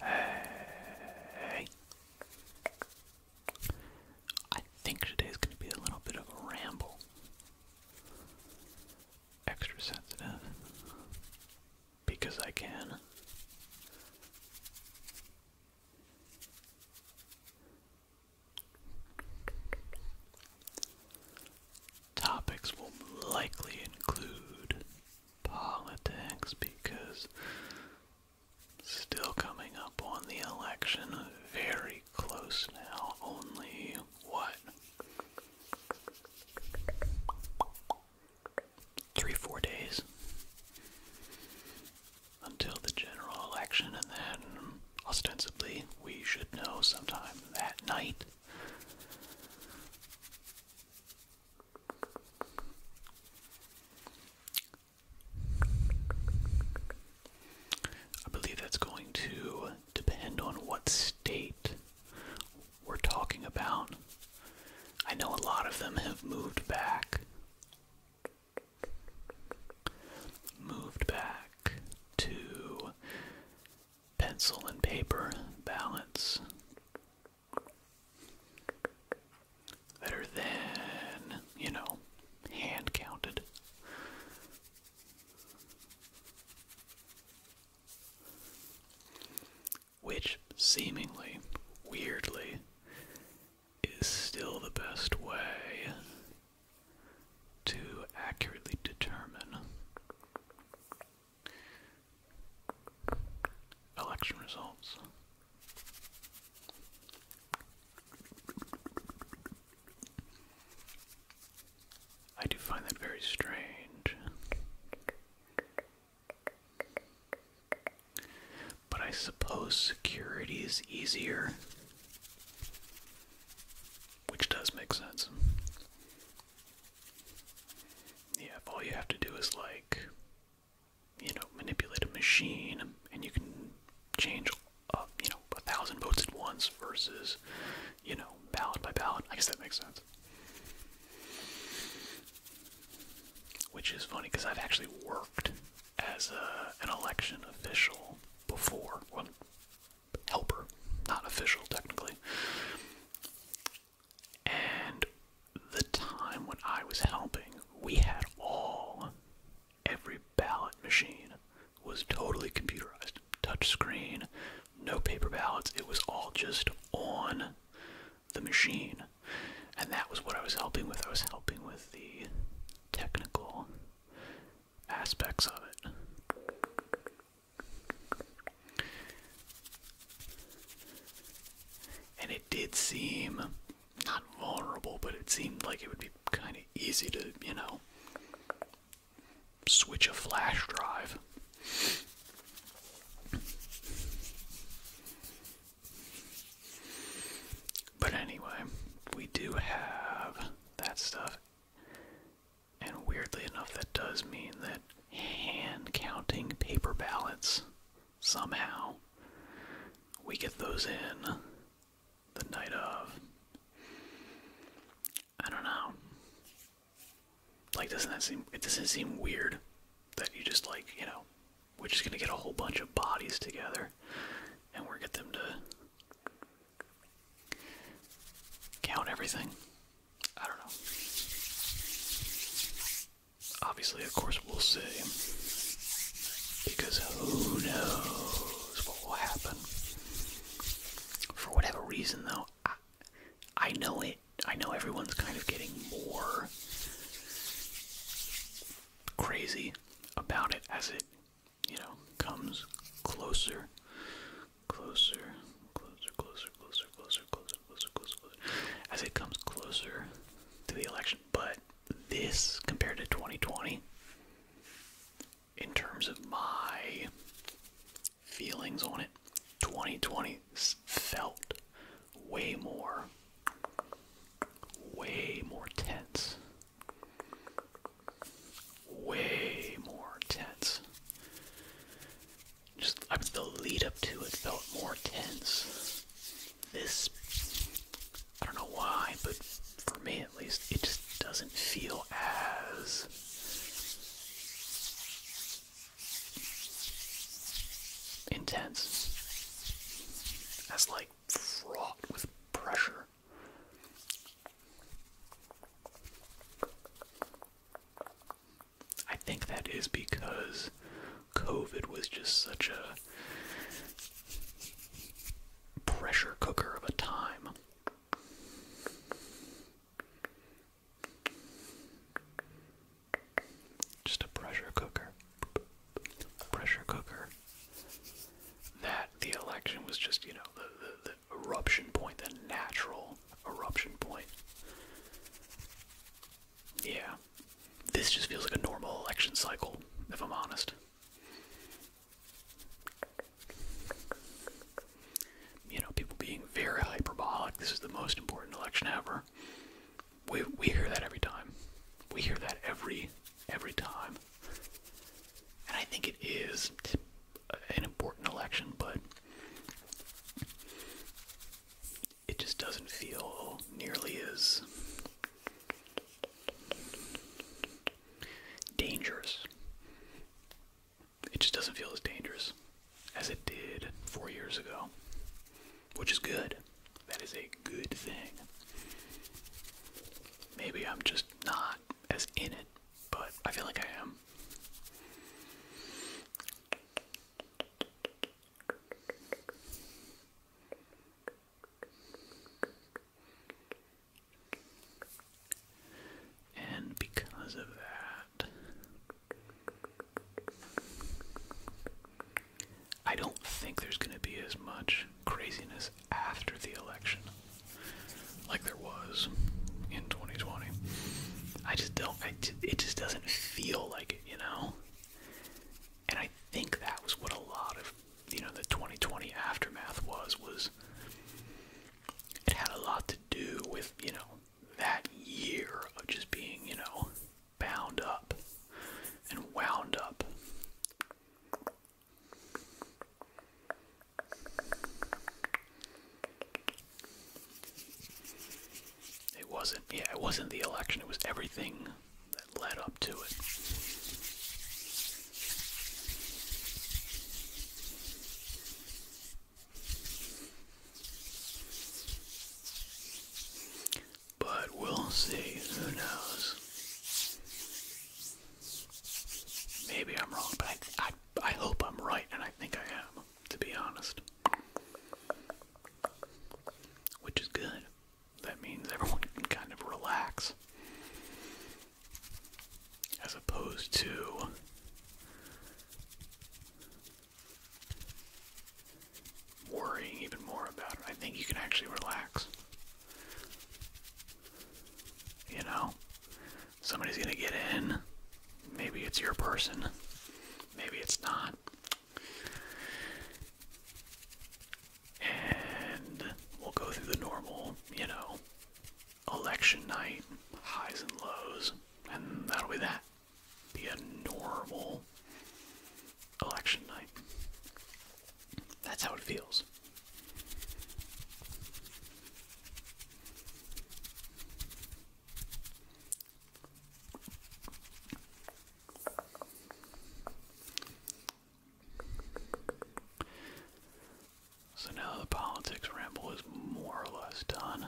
Hey. I think today's going to be a little bit of a ramble. Extra sensitive. Because I can. Topics will likely include politics because still coming up on the election, very close now, only what? Three, four days until the general election, and then ostensibly we should know sometime that night. I believe that's going to depend on what state we're talking about. I know a lot of them have moved back. Moved back to pencil and paper balance that are you know, hand counted. Which seemingly, weirdly, is still the best way to accurately determine Election results. I do find that very strange. But I suppose security is easier, which does make sense. Yeah, all you have to do is like, you know, manipulate a machine and you can change, uh, you know, a thousand votes at once versus, you know, ballot by ballot. I guess that makes sense. Which is funny because I've actually worked as an election official before, well, helper, not official technically. And the time when I was helping, we had all, every ballot machine was totally computerized. Touch screen, no paper ballots, it was all just on the machine. And that was what I was helping with. I was helping with the technical aspects of it. And it did seem not vulnerable, but it seemed like it would be kind of easy to, you know, switch a flash drive. But anyway, we do have that stuff. And weirdly enough, that does mean that hand counting paper ballots, somehow, we get those in the night of. I don't know. Like, doesn't that seem, it doesn't seem weird that you just, like, you know, we're just gonna get a whole bunch of bodies together and we're get them to count everything. I don't know. Obviously, of course, we'll see. Because who knows what will happen. For whatever reason, though, I, I know it. I know everyone's kind of getting more crazy about it as it, you know, comes closer Closer, closer, closer, closer, closer, closer, closer, closer, closer. As it comes closer to the election. But this, compared to 2020, in terms of my feelings on it, 2020 felt way more, way more tense, way more tense. Just I mean, the lead up to it felt more tense. This, I don't know why, but for me at least, it just doesn't feel as. Intense as like fraught with pressure. I think that is because COVID was just such a pressure cooker of a time. Just a pressure cooker. Pressure cooker. That the election was just, you know, eruption point, the natural eruption point. Yeah. This just feels like a normal election cycle, if I'm honest. You know, people being very hyperbolic. This is the most important election ever. We we hear that every time. We hear that every every time. And I think it is an important election, but it just doesn't feel nearly as dangerous. It just doesn't feel as dangerous as it did four years ago, which is good. That is a good thing. Maybe I'm just not as in it but I feel like I am. And because of that, I don't think there's going to be as much craziness after the election, like there was in 2020. I just don't. I, it just doesn't feel like it, you know. And I think that was what a lot of, you know, the 2020 aftermath was. Was it had a lot to do with, you know, that year of just being, you know, bound up and wound up it wasn't, yeah, it wasn't the election, it was everything that led up to it. But we'll see, who knows? Maybe I'm wrong, but I, I, hope I'm right, and I think I am, to be honest. Which is good. That means everyone can kind of relax. As opposed to. Worrying even more about it. I think you can actually relax. You know, somebody's gonna get in. Maybe it's your person, maybe it's not. And we'll go through the normal, you know, election night highs and lows, and that'll be that. Be a normal election night. That's how it feels. So now the politics ramble is more or less done.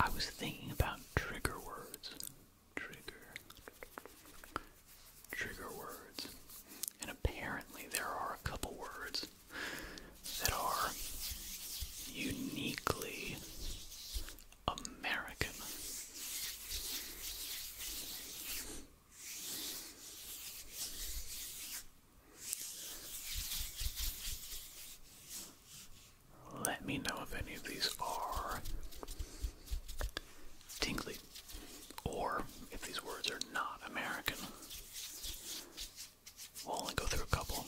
I was thinking about trigger words. Trigger trigger words. And apparently, there are a couple words that are uniquely American. Let me know if any of these are tingly or if these words are not American, we'll only go through a couple.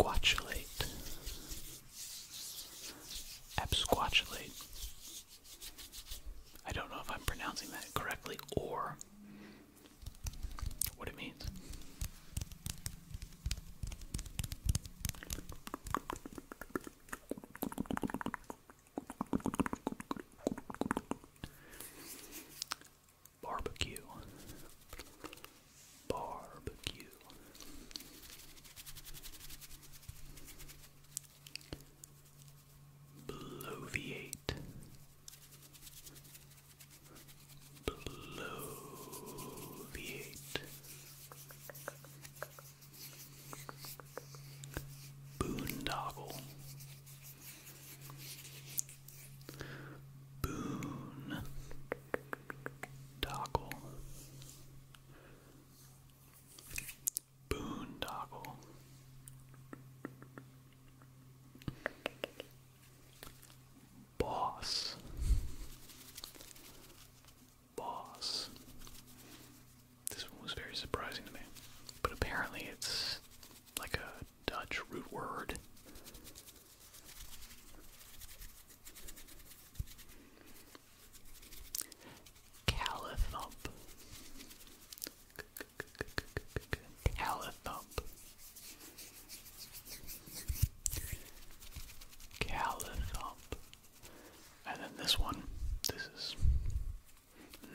Absquatulate. Absquatulate. I don't know if I'm pronouncing that correctly or what it means. Barbecue. Barbecue. Bloviate. Bloviate. Boondoggle. Boon. Boondoggle boss. Boss. This one was very surprising to me. But apparently it's like a Dutch root word. Calithump. Calithump. Callithop. And then this one, this is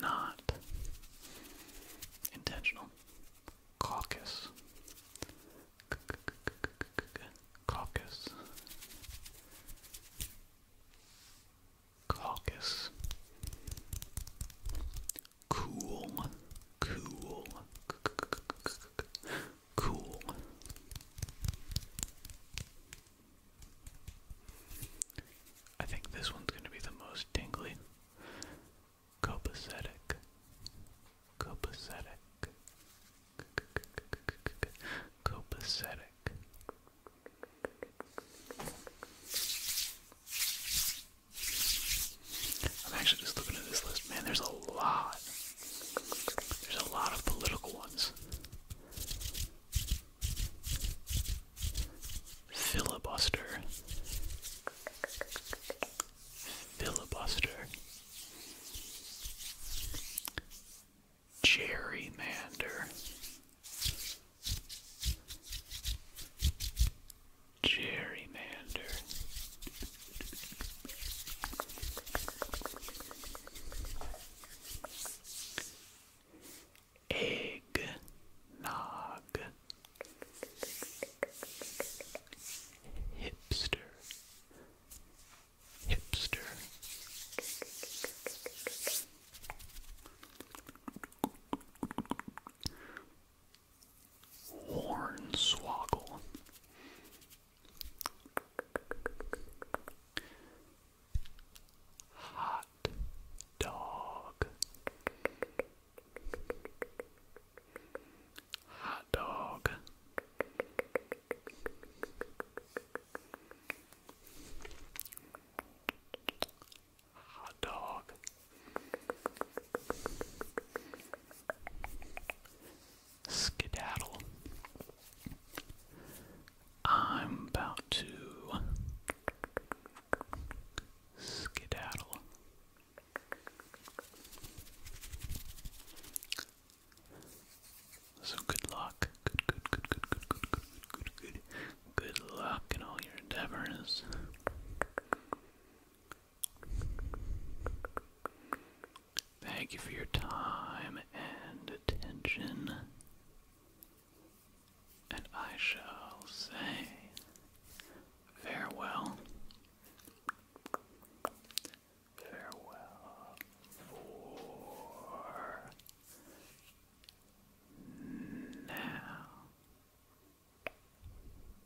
not intentional. Caucus. Caucus. Caucus. Cool. Cool cool. I think this one's going to be the most tingly. Copacetic. Copacetic. Copacetic. I'm actually just looking at this list. Man, there's a lot. There's a lot of political ones. Filibuster. Filibuster. Gerrymander. Gerrymander. Eggnog Hipster Hipster Hornswoggle. Hot dog. Hot dog. Hot dog. Skedaddle. I'm about to skedaddle. So good luck. Good, good, good, good, good, good, good, good, good, good. luck in all your endeavors. Thank you for your time and attention. And I shall say farewell. Farewell for now.